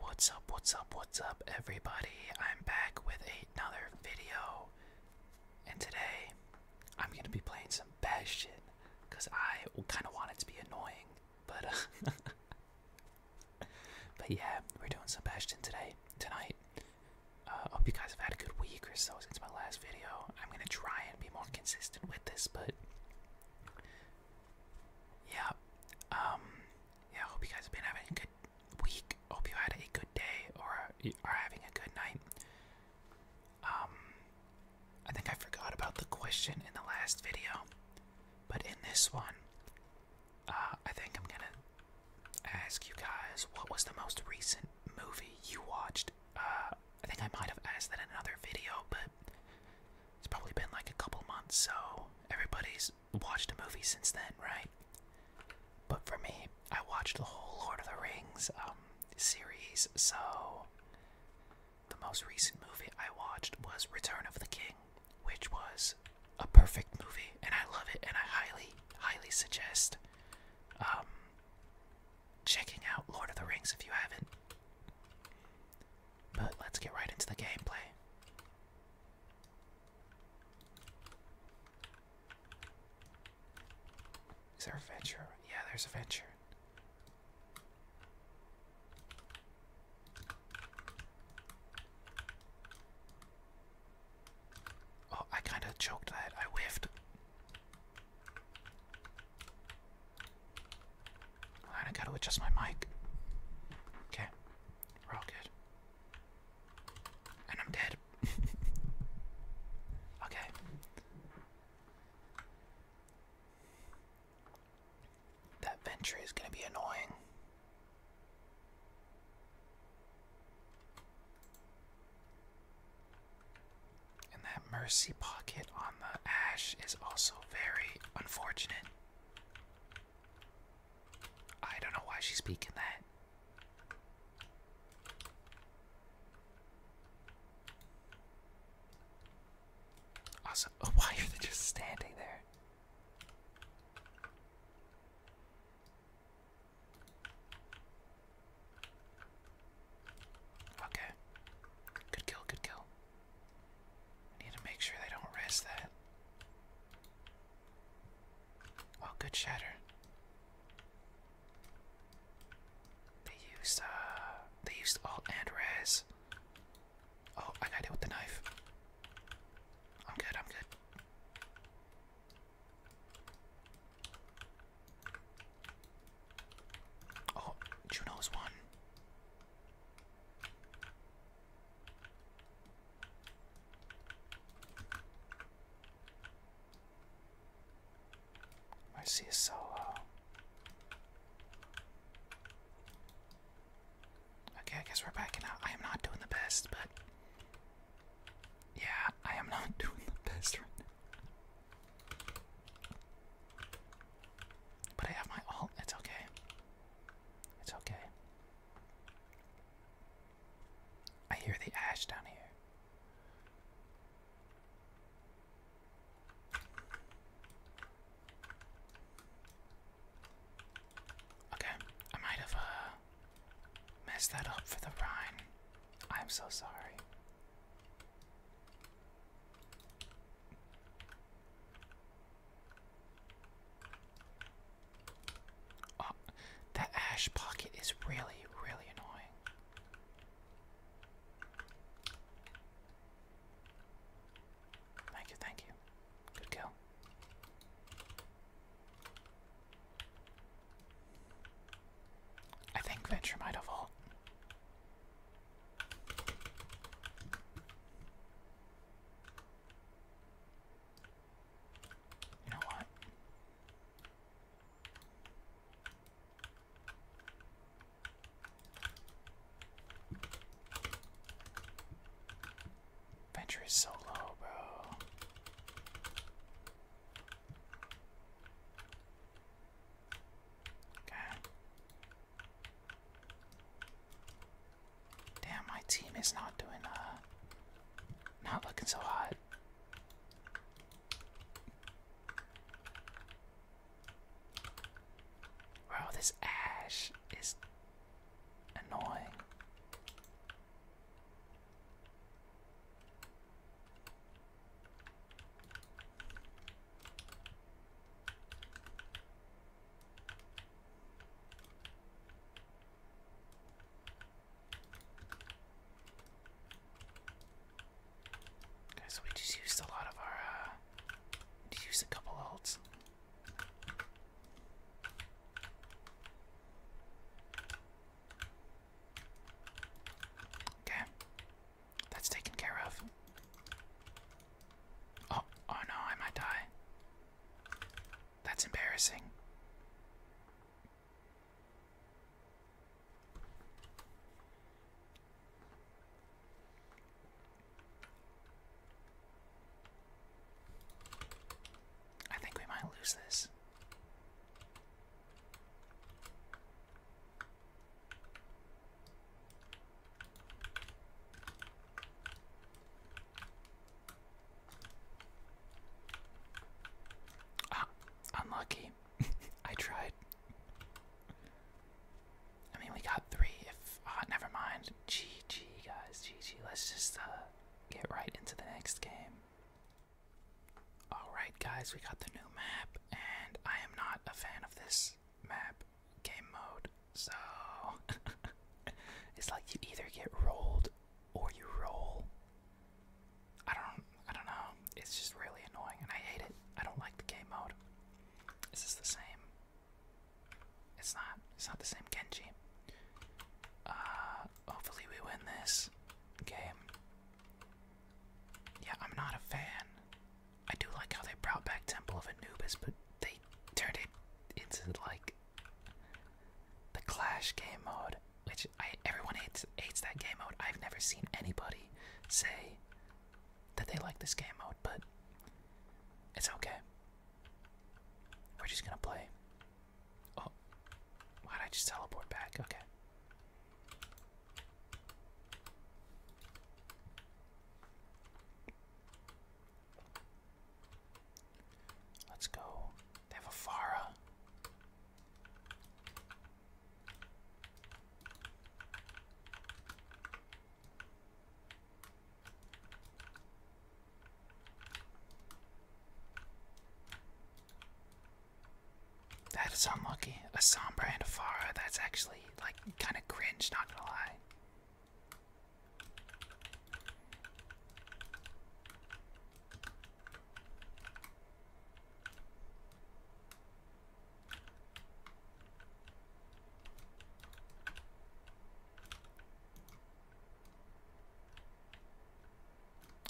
What's up, what's up, what's up, everybody? I'm back with another video, and today I'm gonna be playing some Bastion because I kind of want it to be annoying, but but yeah, we're doing some Bastion today, tonight. Uh, hope you guys have had a good week or so since my last video. I'm gonna try and be more consistent with this, but yeah, um, yeah, I hope you guys have been having a good week. Hope you had a good day or are having a good night. Um, I think I forgot about the question in the last video, but in this one, uh, I think I'm gonna ask you guys what was the most recent movie you watched. Uh, I think I might have asked that in another video, but it's probably been like a couple months, so everybody's watched a movie since then, right? But for me, I watched the whole Lord of the Rings um, series, so the most recent movie I watched was Return of the King, which was a perfect movie, and I love it, and I highly, highly suggest um, checking out Lord of the Rings if you haven't. But let's get right into the gameplay. Is there a venture? Yeah, there's a venture. Oh, I kind of choked that. I whiffed. I gotta adjust my mic. Okay, we're all good. And I'm dead. okay. That venture is gonna be annoying. And that mercy pocket on the ash is also very unfortunate. I don't know why she's speaking that. Awesome. why are they just standing there? Okay. Good kill, good kill. I need to make sure they don't res that. Oh, good shatter. They used uh they used alt and res. Oh, I got it with the knife. I'm good, I'm good. Oh, Juno's one. I see a solo. Okay, I guess we're backing out. I am not doing the best, but yeah, I am not doing the best But I have my alt. It's okay. It's okay. I hear the ash down here. Okay, I might have uh, messed that up for the Rhine. I'm so sorry. Oh, that ash pocket is really, really annoying. Thank you, thank you. Good kill. I think Venture might have ult. Venture is so low, bro. Okay. Damn, my team is not doing, uh, not looking so hot. Bro, this ash is annoying. Okay, so we just used a lot of our, uh, we used a couple ults. Okay, that's taken care of. Oh, oh no, I might die. That's embarrassing. I think we might lose this. Ah, unlucky. I tried. I mean, we got three. If uh, never mind. GG, guys. GG. Let's just uh, get right into the next game. Alright, guys, we got the new map, and I am not a fan of this map game mode. So it's like you either get rolled or you roll. I don't I don't know. It's just really annoying and I hate it. I don't like the game mode. Is this the same? It's not. It's not the same Genji. Uh hopefully we win this game. Yeah, I'm not a fan. I do like how they brought back Temple of Anubis, but they turned it into like the Clash game mode, which I everyone hates hates that game mode. I've never seen anybody say that they like this game mode, but it's okay. We're just gonna play. Oh, why did I just teleport back? Okay. Let's go. They have a fara. That is unlucky. A Sombra and a Farah, that's actually like kinda cringe, not gonna lie.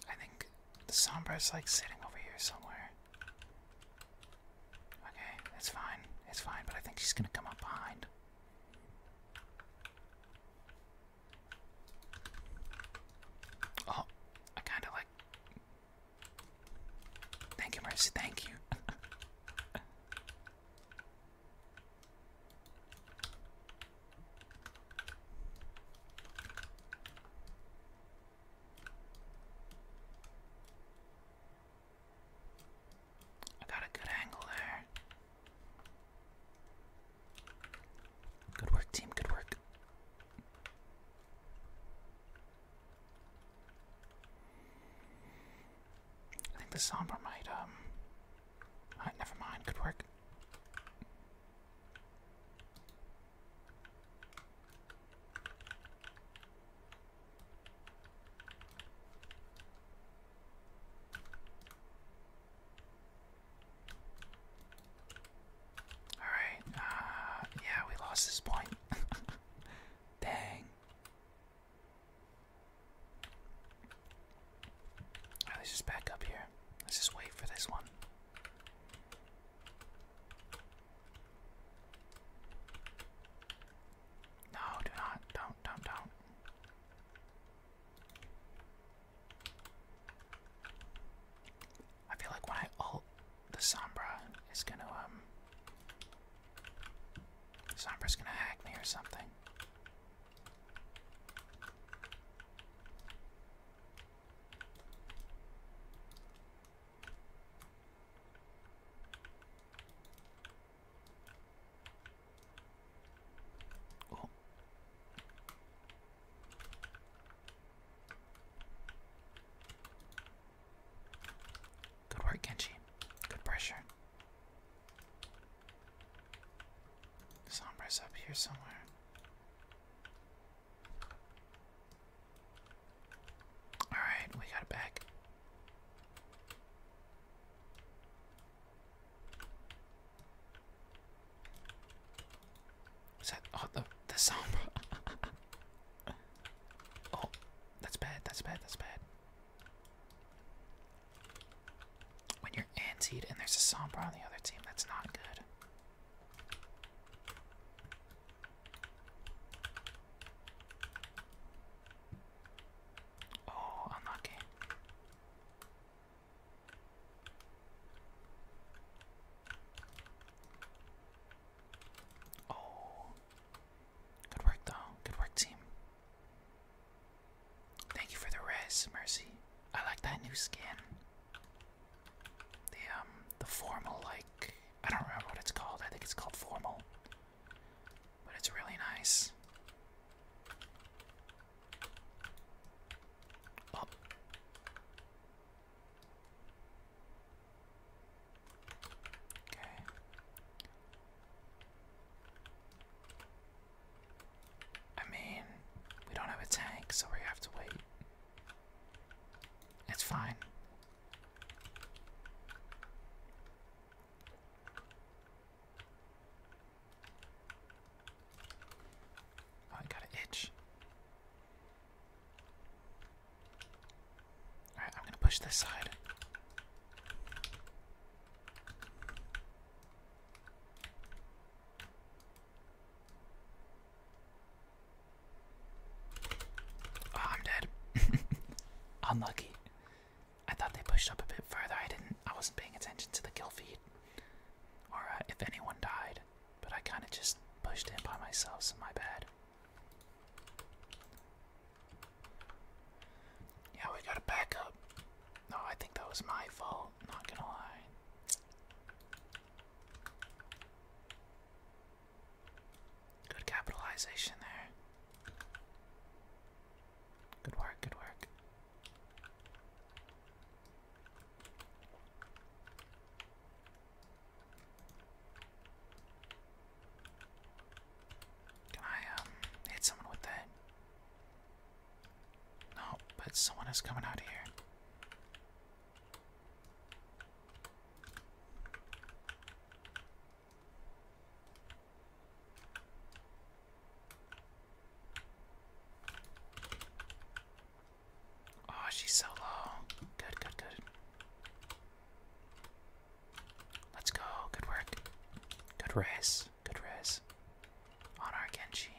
I think the sombra is like sitting over here somewhere. Okay, it's fine. It's fine, but I think she's gonna come up behind. Oh, I kind of like. Thank you, Mercy. Thank you. I got a good angle there. Good work, team. Good work. I think the Sombra might, um. I never mind. Good work. Alright, uh, yeah, we lost this point. Dang. let's just back up here. Let's just wait for this one. No, do not. Don't, don't, don't. I feel like when I ult, the Sombra is gonna, um. Sombra's gonna hack me or something. Oh. Good work, Genji. Good pressure. Sombra's up here somewhere. Alright, we got it back. Is that oh the the sombra? oh, that's bad. That's bad. That's bad. When you're antied and there's a sombra on the other team, that's not good. Oh, unlucky. Oh. Good work, though. Good work, team. Thank you for the res, Mercy. I like that new skin. The, um, the formal, like, I don't remember what it's called. I think it's called formal. But it's really nice. Okay. I mean, we don't have a tank, so we have to wait. It's fine. Oh, I got an itch. Alright, I'm gonna push this side. Ah, I'm dead. Unlucky. I thought they pushed up a bit further. I didn't. I wasn't paying attention to the kill feed or uh, if anyone died, but I kind of just pushed in by myself, so my bad. Yeah, we gotta back up. No, I think that was my fault, not gonna lie. Good capitalization there. Good work, good work. Can I um, hit someone with that? No, but someone is coming out here. Oh, she's so low. Good, good, good. Let's go. Good work. Good race. Good race. On our Genji.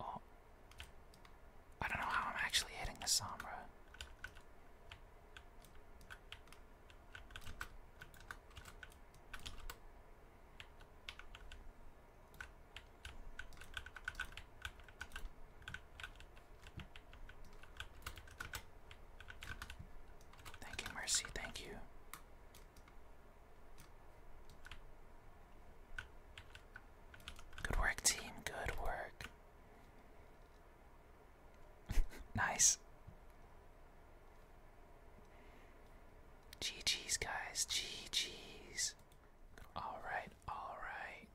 Oh. I don't know how I'm actually hitting the Sombra. Thank you, Mercy. Thank you. Good work, team. Good work. nice. GG's, guys. GG's. Alright, alright.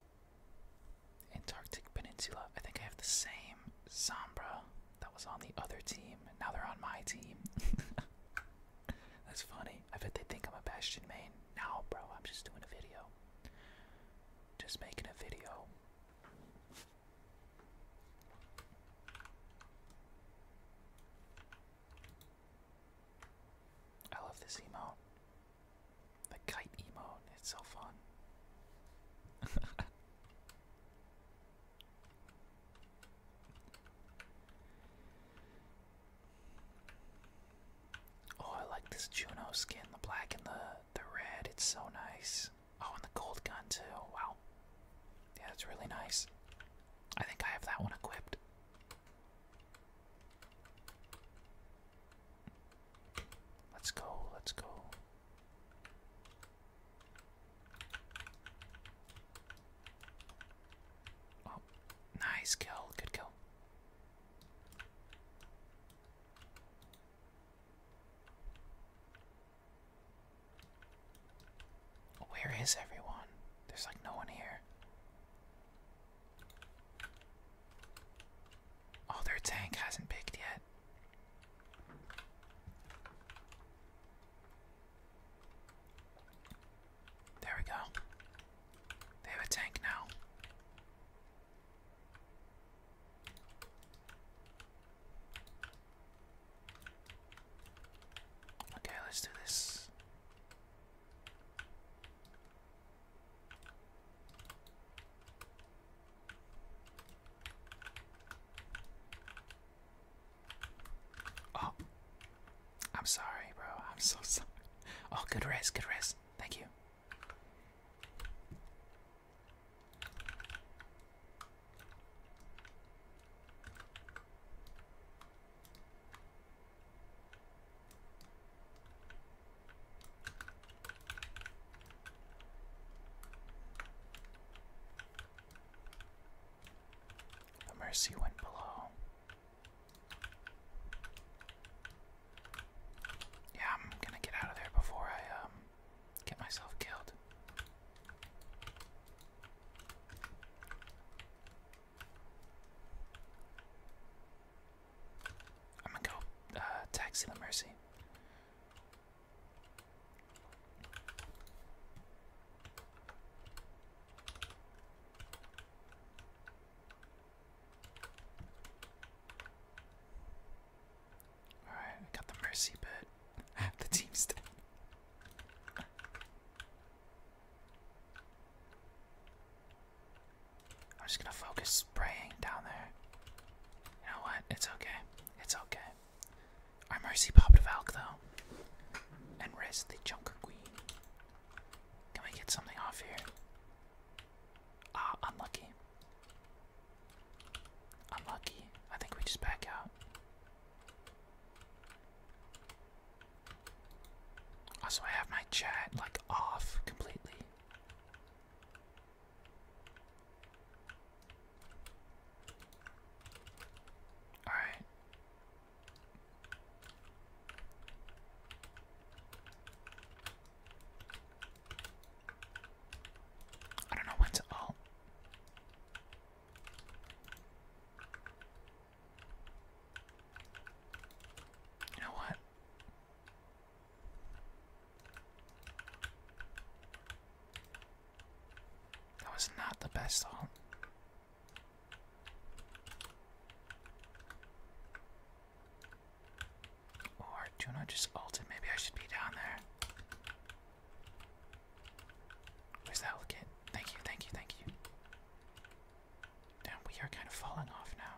Antarctic Peninsula. I think I have the same Sombra that was on the other team. Now they're on my team. That's funny. I bet they think I'm a Bastion main. Now, bro, I'm just doing a video. Just making a video. I love this emote. The kite emote, it's so fun. oh, I like this Juno skin, the black and the the red, it's so nice. Oh, and the gold gun too. Wow. Yeah, that's really nice. I think I have that one equipped. Let's go, let's go. Oh, nice kill, good kill. Where is everyone? There's like no one here. Oh, their tank hasn't picked yet. There we go. They have a tank now. Okay, let's do this. Oh, I'm sorry, bro. I'm so sorry. Oh, good rest, good rest. Thank you. The Mercy went below. Yeah, I'm gonna get out of there before I um Get myself killed. I'm gonna go uh, taxi the mercy. Alright, I got the mercy, but half the team's dead. I'm just gonna focus spraying down there. You know what? It's okay. It's okay. Our mercy popped Valk though. And raised the Junker Queen. Can we get something off here? Ah, unlucky. I'm lucky. I think we just back out. Also, I have my chat like off completely. All right. I don't know when to alt. You know what? That was not the best alt. Or Juno just alt it. Maybe I should be down there. Where's that kid? Thank you, thank you, thank you. Damn, we are kind of falling off now.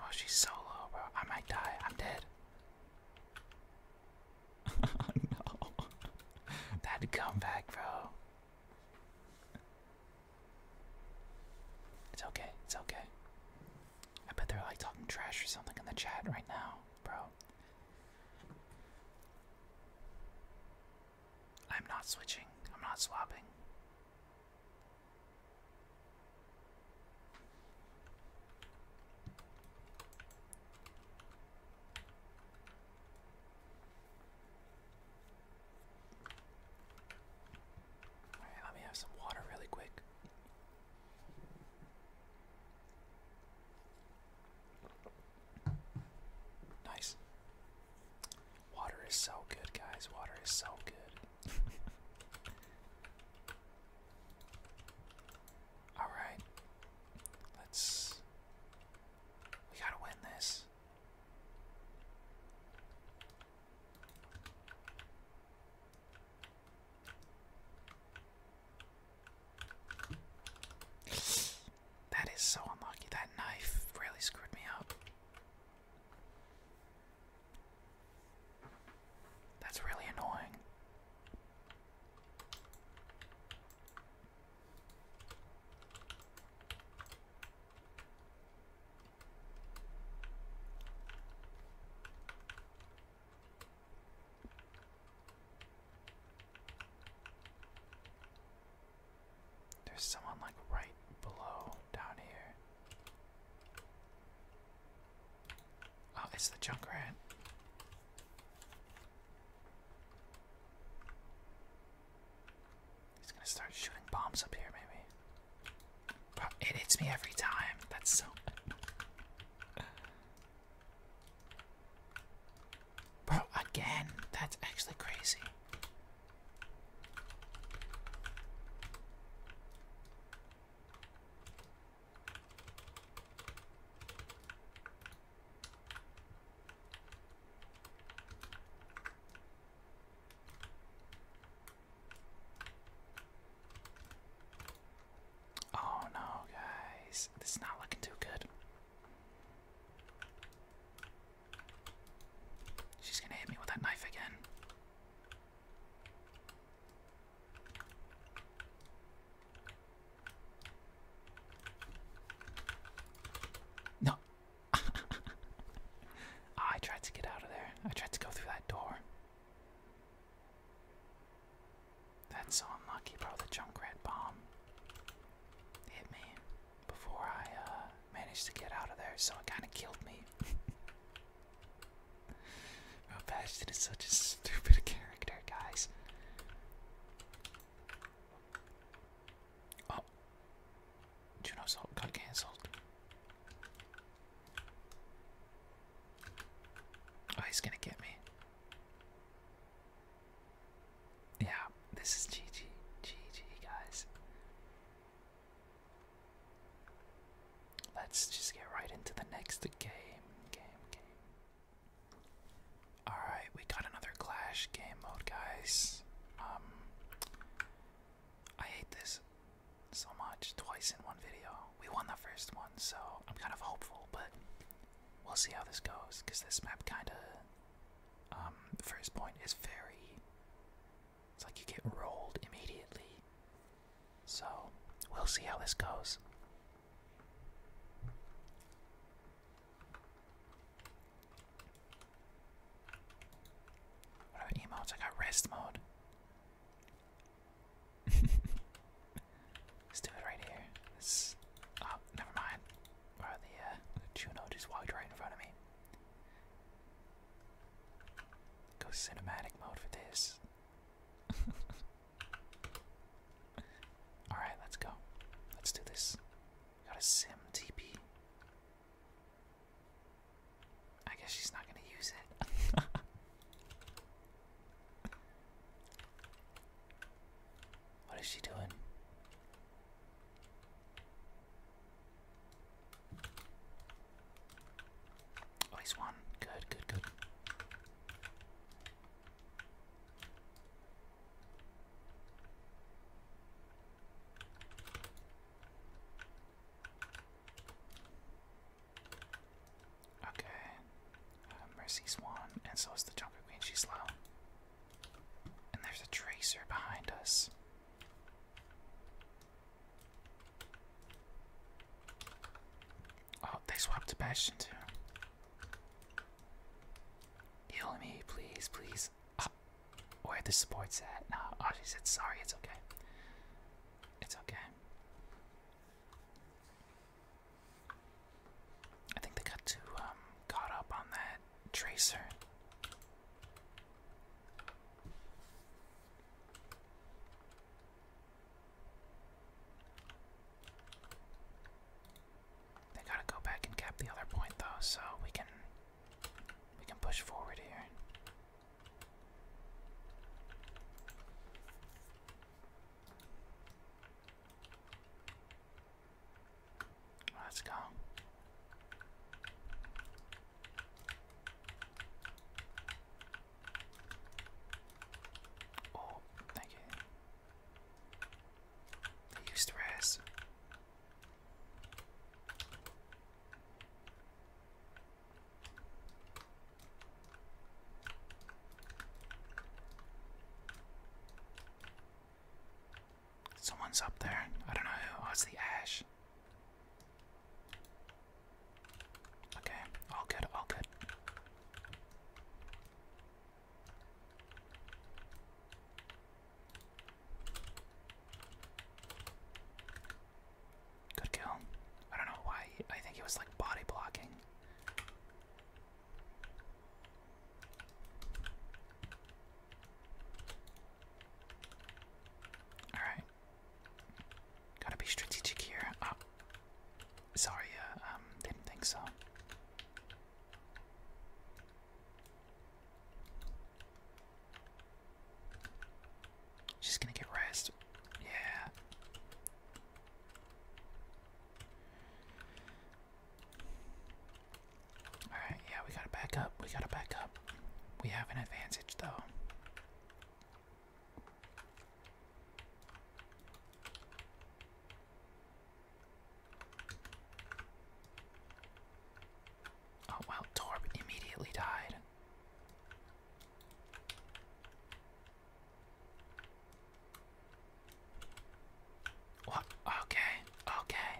Oh, she's so low, bro. I might die. I'm dead. oh, no. That comeback, bro. It's okay. It's okay. I bet they're like talking trash or something in the chat right now, bro. I'm not switching, I'm not swapping. Alright, let me have some water really quick. Nice. Water is so good, guys. Water is so good. Alright. Let's. We gotta win this. That is so unlucky. That knife really screwed me up. That's really annoying. There's someone like right below down here. Oh, it's the junk rat. He's gonna start shooting bombs up here, maybe. it hits me every time. That's so. Bro, again, that's actually crazy. Oh no, guys, this is not looking too good. She's gonna hit me with that knife again. No. Ah, I tried to get out of there. I tried to go through that door. That's so unlucky, bro. The Junkrat bomb hit me before I uh, managed to get out of there, so it kind of killed me. oh, Bastion is such a stupid character, guys. Oh, Juno Salt got cancelled. Oh, he's gonna get me. Yeah, this is GG. GG, guys. Let's just get right into the next game. Game, game. Alright, we got another Clash game mode, guys. Um, I hate this so much. Twice in one video. We won the first one, so I'm kind of hopeful, but we'll see how this goes because this map kind of, um, first point is very. It's like you get rolled immediately. So we'll see how this goes. What about emotes? I got rest mode. Let's do it right here. Oh, never mind. Or the, uh, Juno just walked right in front of me. Go cinematic mode for this. Alright, let's go. Let's do this. Got a sim TP. I guess she's not gonna use it. What is she doing? Oh, he's Good, good, good. Okay. Uh, Mercy's and so is the Junker Queen. She's slow. And there's a tracer behind us. Oh, they swapped to Bastion too. Heal me, please, please. Oh, where the support's at? No, oh, she said sorry. It's okay. It's okay. I think they got too um, caught up on that tracer. They gotta go back and cap the other point though, so we can we can push forward here. Let's go. Oh, thank you. used res. Someone's up there. I don't know who. it's the ash. Okay, all good, all good. Good kill. I don't know why. I think he was like body blocking. Alright. Gotta be strategic here. Oh. Sorry, uh, um, didn't think so. She's gonna get rest. Yeah. Alright, yeah, we gotta back up. We gotta back up. We have an advantage, though. Oh, well, Torb immediately died. What? Okay, okay.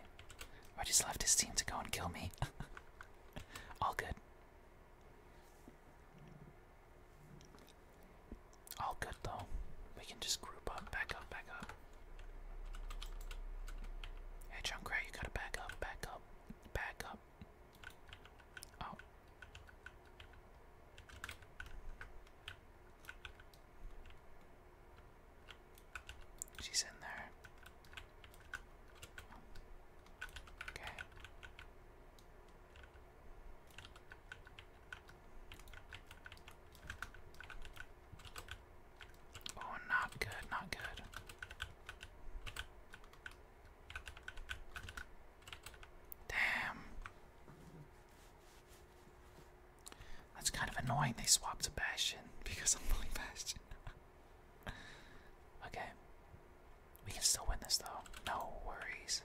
I just left his team to go and kill me. All good. All good though. We can just group up, back up, back up. Hey, Junkrat, you gotta back up, back up, back up. Oh. She's in there. Okay. Oh, not good, not good. Damn. That's kind of annoying they swapped to Bastion because I'm pulling Bastion. okay. We can still win this though. No worries.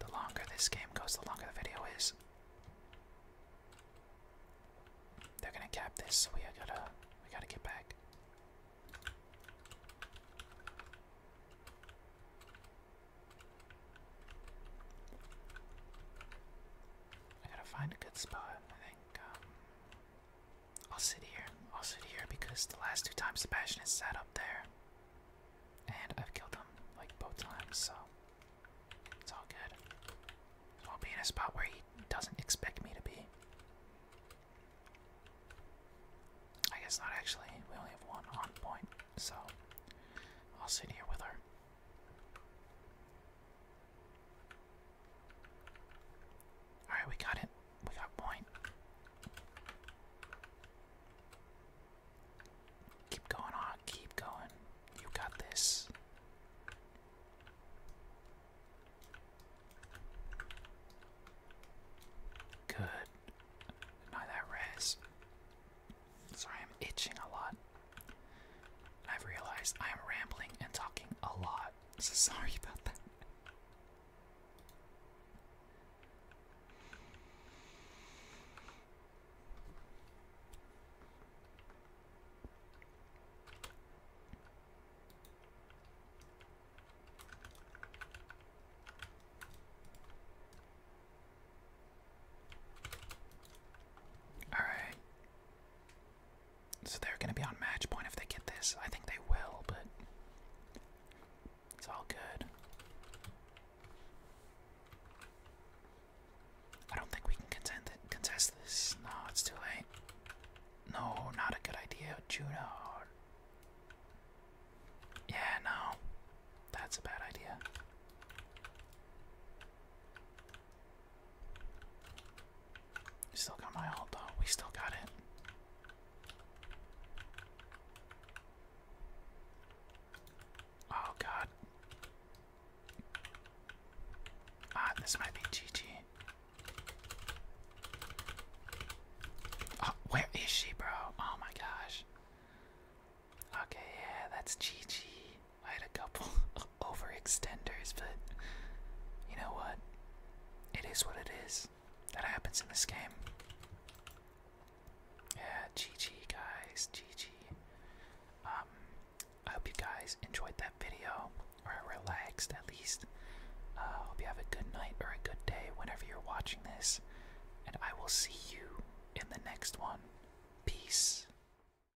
The longer this game goes, the longer the video is. They're gonna cap this, we gotta we gotta get back. I gotta find a good spot. I think um, I'll sit here. I'll sit here because the last two times Sebastian has sat up there, and I've killed him like both times, so it's all good. So I'll be in a spot where he doesn't expect me to be. I guess not actually. We only have one on point, so I'll sit here with her. Alright, we got it. We got point. Keep going on, keep going. You got this. Good. Deny that res. Sorry, I'm itching a lot. I've realized I am rambling and talking a lot, so sorry about that. All right. So they're going to be on match point if they get this. I think they will, but it's all good. I don't think we can contest this. No, it's too late. No, not a good idea, Juno. Yeah, no. That's a bad idea. Still got my alt though. We still got it. Oh god. Ah, this might be GG. Oh, where is she, bro? Oh my gosh. Okay, yeah, that's GG. I had a couple overextenders, but you know what? It is what it is. That happens in this game. Yeah, GG guys, GG. Um, I hope you guys enjoyed that video, or relaxed at least. uh, hope you have a good night or a good day whenever you're watching this, and I will see you in the next one. Peace.